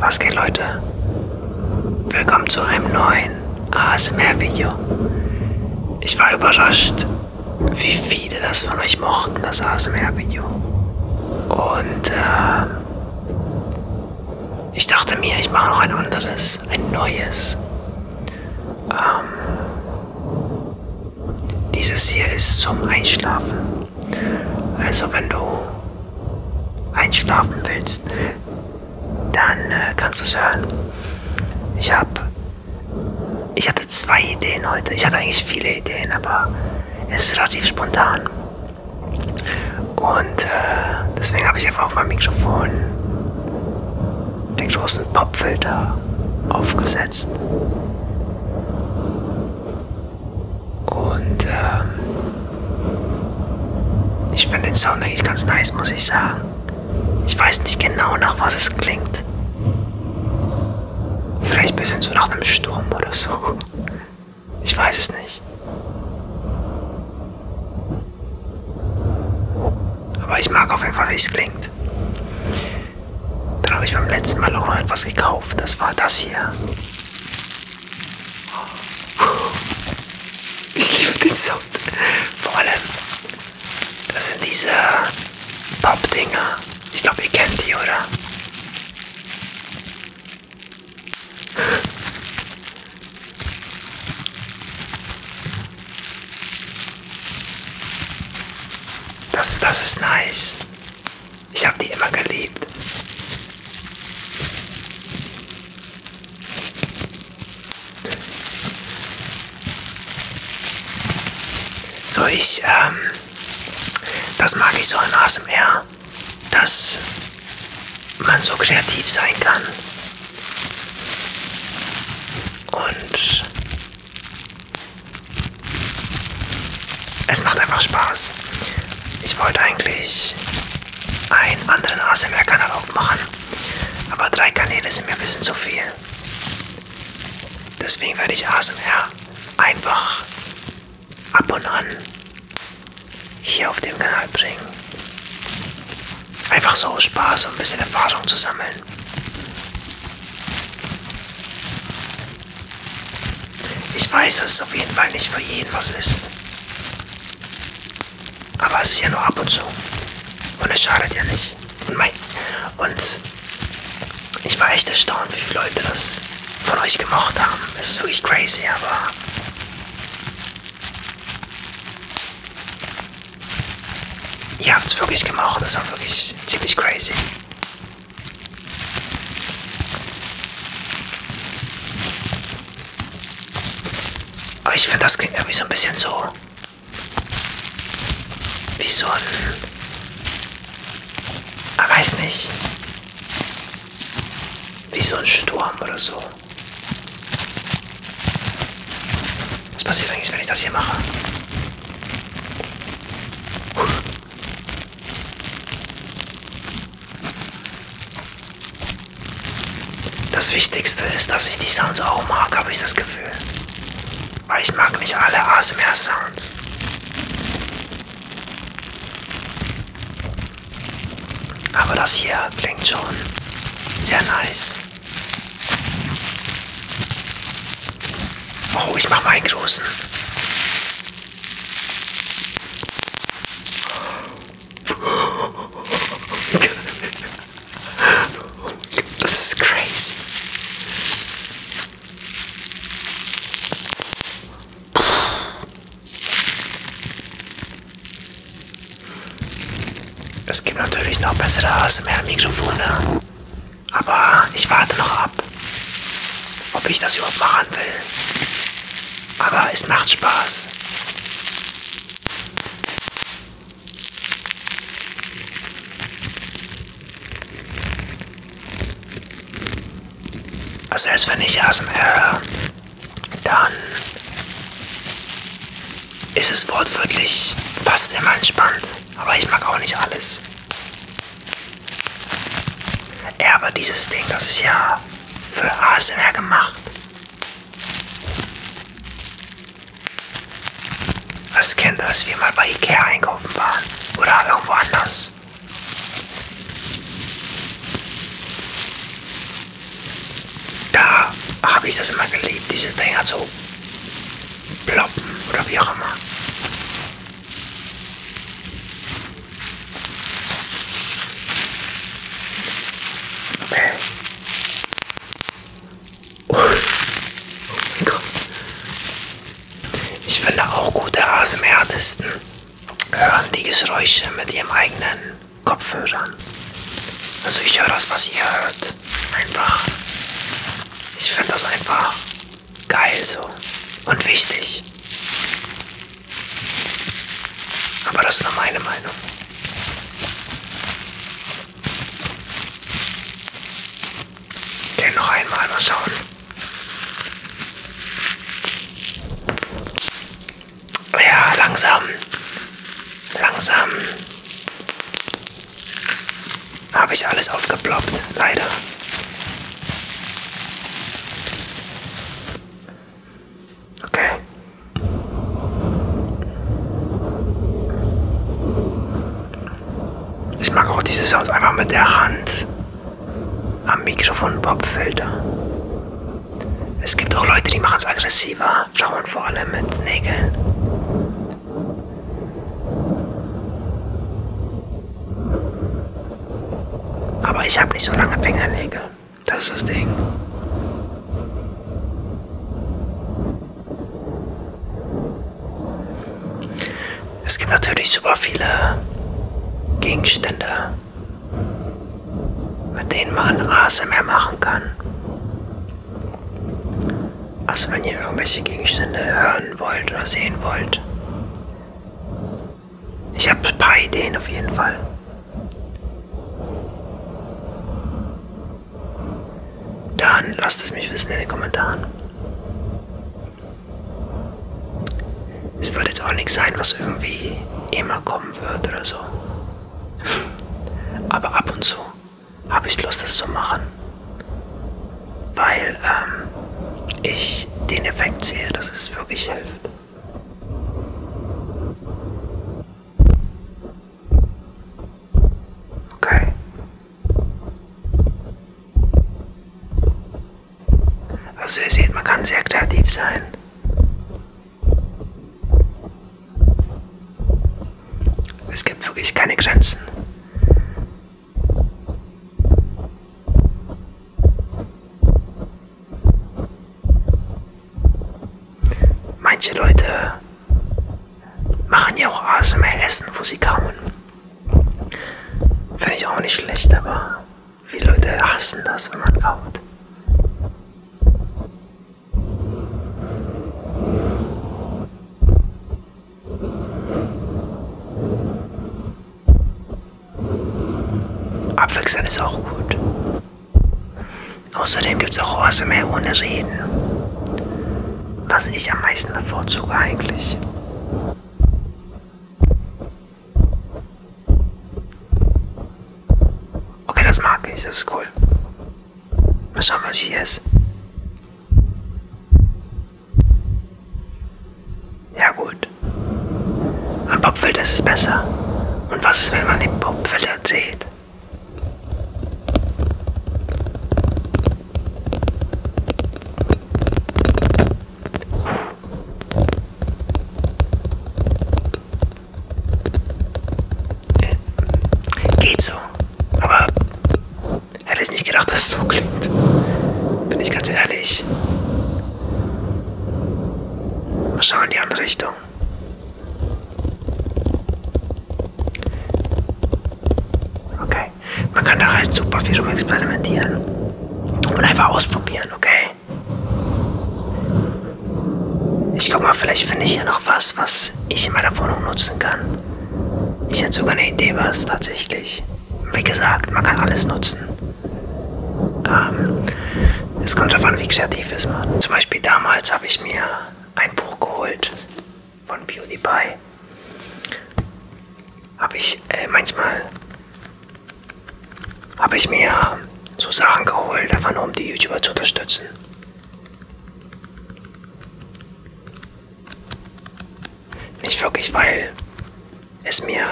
Was geht Leute? Willkommen zu einem neuen ASMR-Video. Ich war überrascht, wie viele das von euch mochten, das ASMR-Video. Und äh, ich dachte mir, ich mache noch ein anderes, ein neues. Ähm, dieses hier ist zum Einschlafen. Also wenn du einschlafen willst, dann äh, kannst du es hören. Ich habe, ich hatte zwei Ideen heute. Ich hatte eigentlich viele Ideen, aber es ist relativ spontan. Und äh, deswegen habe ich einfach auf meinem Mikrofon den großen Popfilter aufgesetzt. Und ähm, ich finde den Sound eigentlich ganz nice, muss ich sagen. Ich weiß nicht genau, nach was es klingt. Vielleicht ein bisschen so nach einem Sturm oder so. Ich weiß es nicht. Aber ich mag auf jeden Fall, wie es klingt. Dann habe ich beim letzten Mal auch noch etwas gekauft. Das war das hier. Ich liebe den Sound. Vor allem, das sind diese Pappdinger. Ich glaube, ihr kennt die, oder? Das, das ist nice. Ich habe die immer geliebt. So, ich, ähm, das mag ich so an ASMR, dass man so kreativ sein kann. Und es macht einfach Spaß. Ich wollte eigentlich einen anderen ASMR-Kanal aufmachen, aber drei Kanäle sind mir ein bisschen zu viel. Deswegen werde ich ASMR einfach ab und an hier auf dem Kanal bringen. Einfach so Spaß und ein bisschen Erfahrung zu sammeln. Ich weiß, dass es auf jeden Fall nicht für jeden was ist. Aber es ist ja nur ab und zu. Und es schadet ja nicht. Und, mein, und ich war echt erstaunt, wie viele Leute das von euch gemocht haben. Es ist wirklich crazy, aber ihr habt es wirklich gemacht. Das war wirklich ziemlich crazy. Aber ich finde, das klingt irgendwie so ein bisschen so. Wie so ein. Ich weiß nicht. Wie so ein Sturm oder so. Was passiert eigentlich, wenn ich das hier mache? Das Wichtigste ist, dass ich die Sounds auch mag, habe ich das Gefühl. Weil ich mag nicht alle ASMR-Sounds. Aber das hier klingt schon sehr nice. Oh, ich mache mal einen großen. This is crazy. Es gibt natürlich noch bessere ASMR-Mikrofone. Aber ich warte noch ab, ob ich das überhaupt machen will. Aber es macht Spaß. Also erst wenn ich ASMR höre, dann ist es wortwörtlich fast immer entspannt. Aber ich mag auch nicht alles. Ja, aber dieses Ding, das ist ja für ASMR gemacht. Das kennt ihr, als wir mal bei Ikea einkaufen waren oder irgendwo anders. Da habe ich das immer geliebt, diese Dinger zu ploppen oder wie auch immer. Okay. Oh. oh mein Gott. Ich finde auch gute ASMR-Artisten hören die Geräusche mit ihrem eigenen Kopfhörern. Also ich höre das, was ihr hört. Einfach. Ich finde das einfach geil so und wichtig. Aber das ist nur meine Meinung. Gehen noch einmal mal schauen. Ja, langsam. Langsam habe ich alles aufgeploppt, leider. Okay. Ich mag auch diese Sounds einfach mit der Hand am Mikrofon Popfilter. Es gibt auch Leute, die machen es aggressiver, schauen vor allem mit Nägeln. Aber ich habe nicht so lange Fingernägel. Das ist das Ding. Es gibt natürlich super viele Gegenstände, mit denen man ASMR machen kann. Also wenn ihr irgendwelche Gegenstände hören wollt oder sehen wollt. Ich habe ein paar Ideen auf jeden Fall. Dann lasst es mich wissen in den Kommentaren. Es wird jetzt auch nichts sein, was irgendwie immer kommen wird oder so. Aber ab und zu habe ich Lust, das zu machen weil ähm, ich den Effekt sehe, dass es wirklich hilft. Okay. Also ihr seht, man kann sehr kreativ sein. Es gibt wirklich keine Grenzen. Manche Leute machen ja auch ASMR-Essen, wo sie kauen. Finde ich auch nicht schlecht, aber viele Leute hassen das, wenn man kaut. Abwechseln ist auch gut. Außerdem gibt es auch ASMR ohne Reden. Was ich am meisten bevorzuge eigentlich. Okay, das mag ich, das ist cool. Mal schauen, was hier ist. Ja gut. Am Popfilter ist es besser. Und was ist, wenn man den Popfilter zählt? Geht so. Aber Hätte ich nicht gedacht, dass es so klingt. Bin ich ganz ehrlich. Wir schauen in die andere Richtung. Okay. Man kann da halt super viel rum experimentieren. Und einfach ausprobieren, okay? Ich guck mal, vielleicht finde ich hier noch was, was ich in meiner Wohnung nutzen kann. Ich hätte sogar eine Idee, was tatsächlich. Wie gesagt, man kann alles nutzen. Ähm, es kommt darauf an, wie kreativ ist man. Zum Beispiel damals habe ich mir ein Buch geholt von PewDiePie. Habe ich äh, manchmal habe ich mir so Sachen geholt, einfach nur um die YouTuber zu unterstützen. Nicht wirklich, weil es mir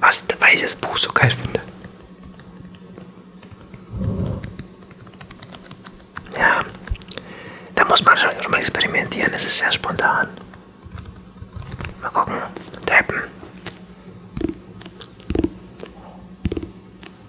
was, weil ich das Buch so geil finde. Ja, da muss man schon mal experimentieren, es ist sehr spontan. Mal gucken, tappen.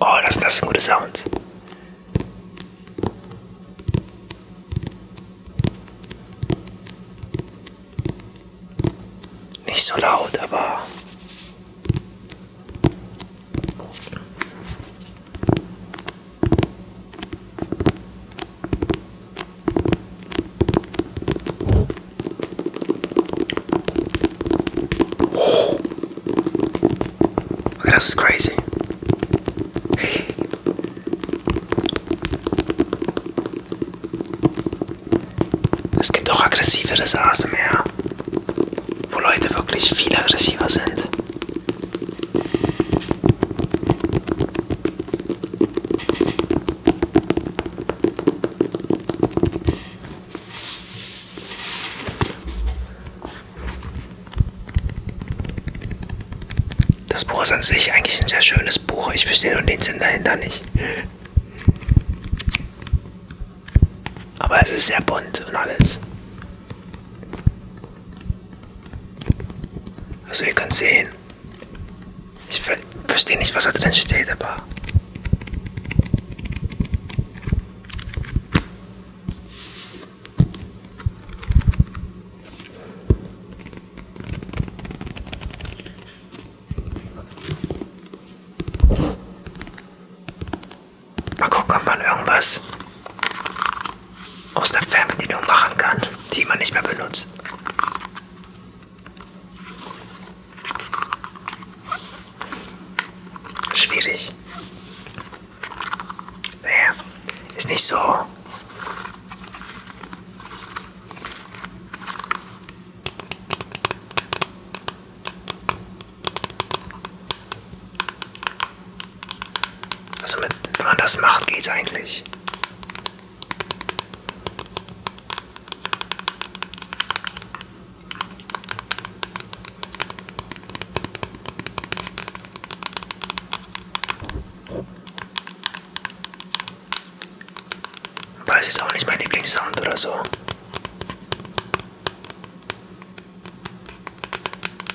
Oh, das, das sind gute Sounds. Nicht so laut, aber... Oh. Okay, das ist crazy. Es gibt auch aggressiveres ASMR, wo Leute wirklich viel aggressiver sind. Das Buch ist an sich eigentlich ein sehr schönes Buch. Ich verstehe nur den Sinn dahinter nicht. Aber es ist sehr bunt und alles. Also ihr könnt sehen. Ich ver verstehe nicht, was da drin steht, aber Mal gucken, ob man irgendwas aus der Fernbedienung machen kann, die man nicht mehr benutzt. Schwierig. Naja, ist nicht so. Also mit, wenn man das macht, geht's eigentlich. Aber es ist auch nicht mein Lieblingssound oder so.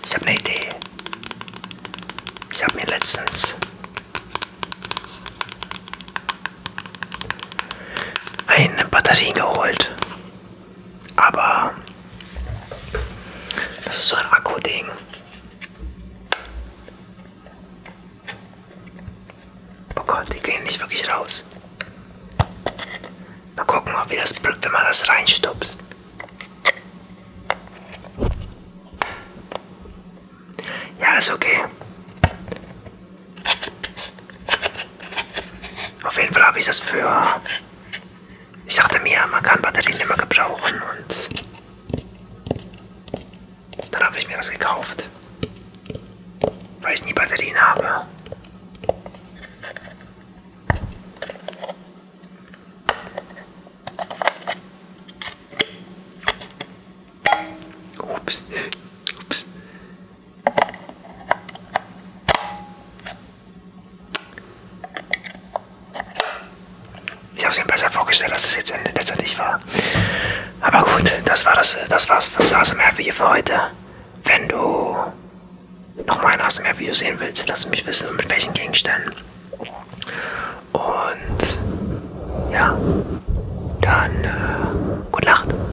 Ich habe eine Idee. Ich habe mir letztens eine Batterie geholt aber das ist so ein Akku-Ding. Oh Gott, die gehen nicht wirklich raus. Mal gucken, ob wir das, wenn man das reinstupst. Ja, ist okay. Auf jeden Fall habe ich das für. Ich dachte mir, man kann Batterien immer gebrauchen und dann habe ich mir das gekauft. Weil ich nie Batterien habe. Ups. Ups. Ich habe es mir besser vorgestellt, als es jetzt letztendlich war. Aber gut, das war das, äh, das war's fürs ASMR-Video für heute. Wenn du nochmal ein ASMR-Video sehen willst, lass mich wissen, mit welchen Gegenständen. Und ja, dann äh, gute Nacht.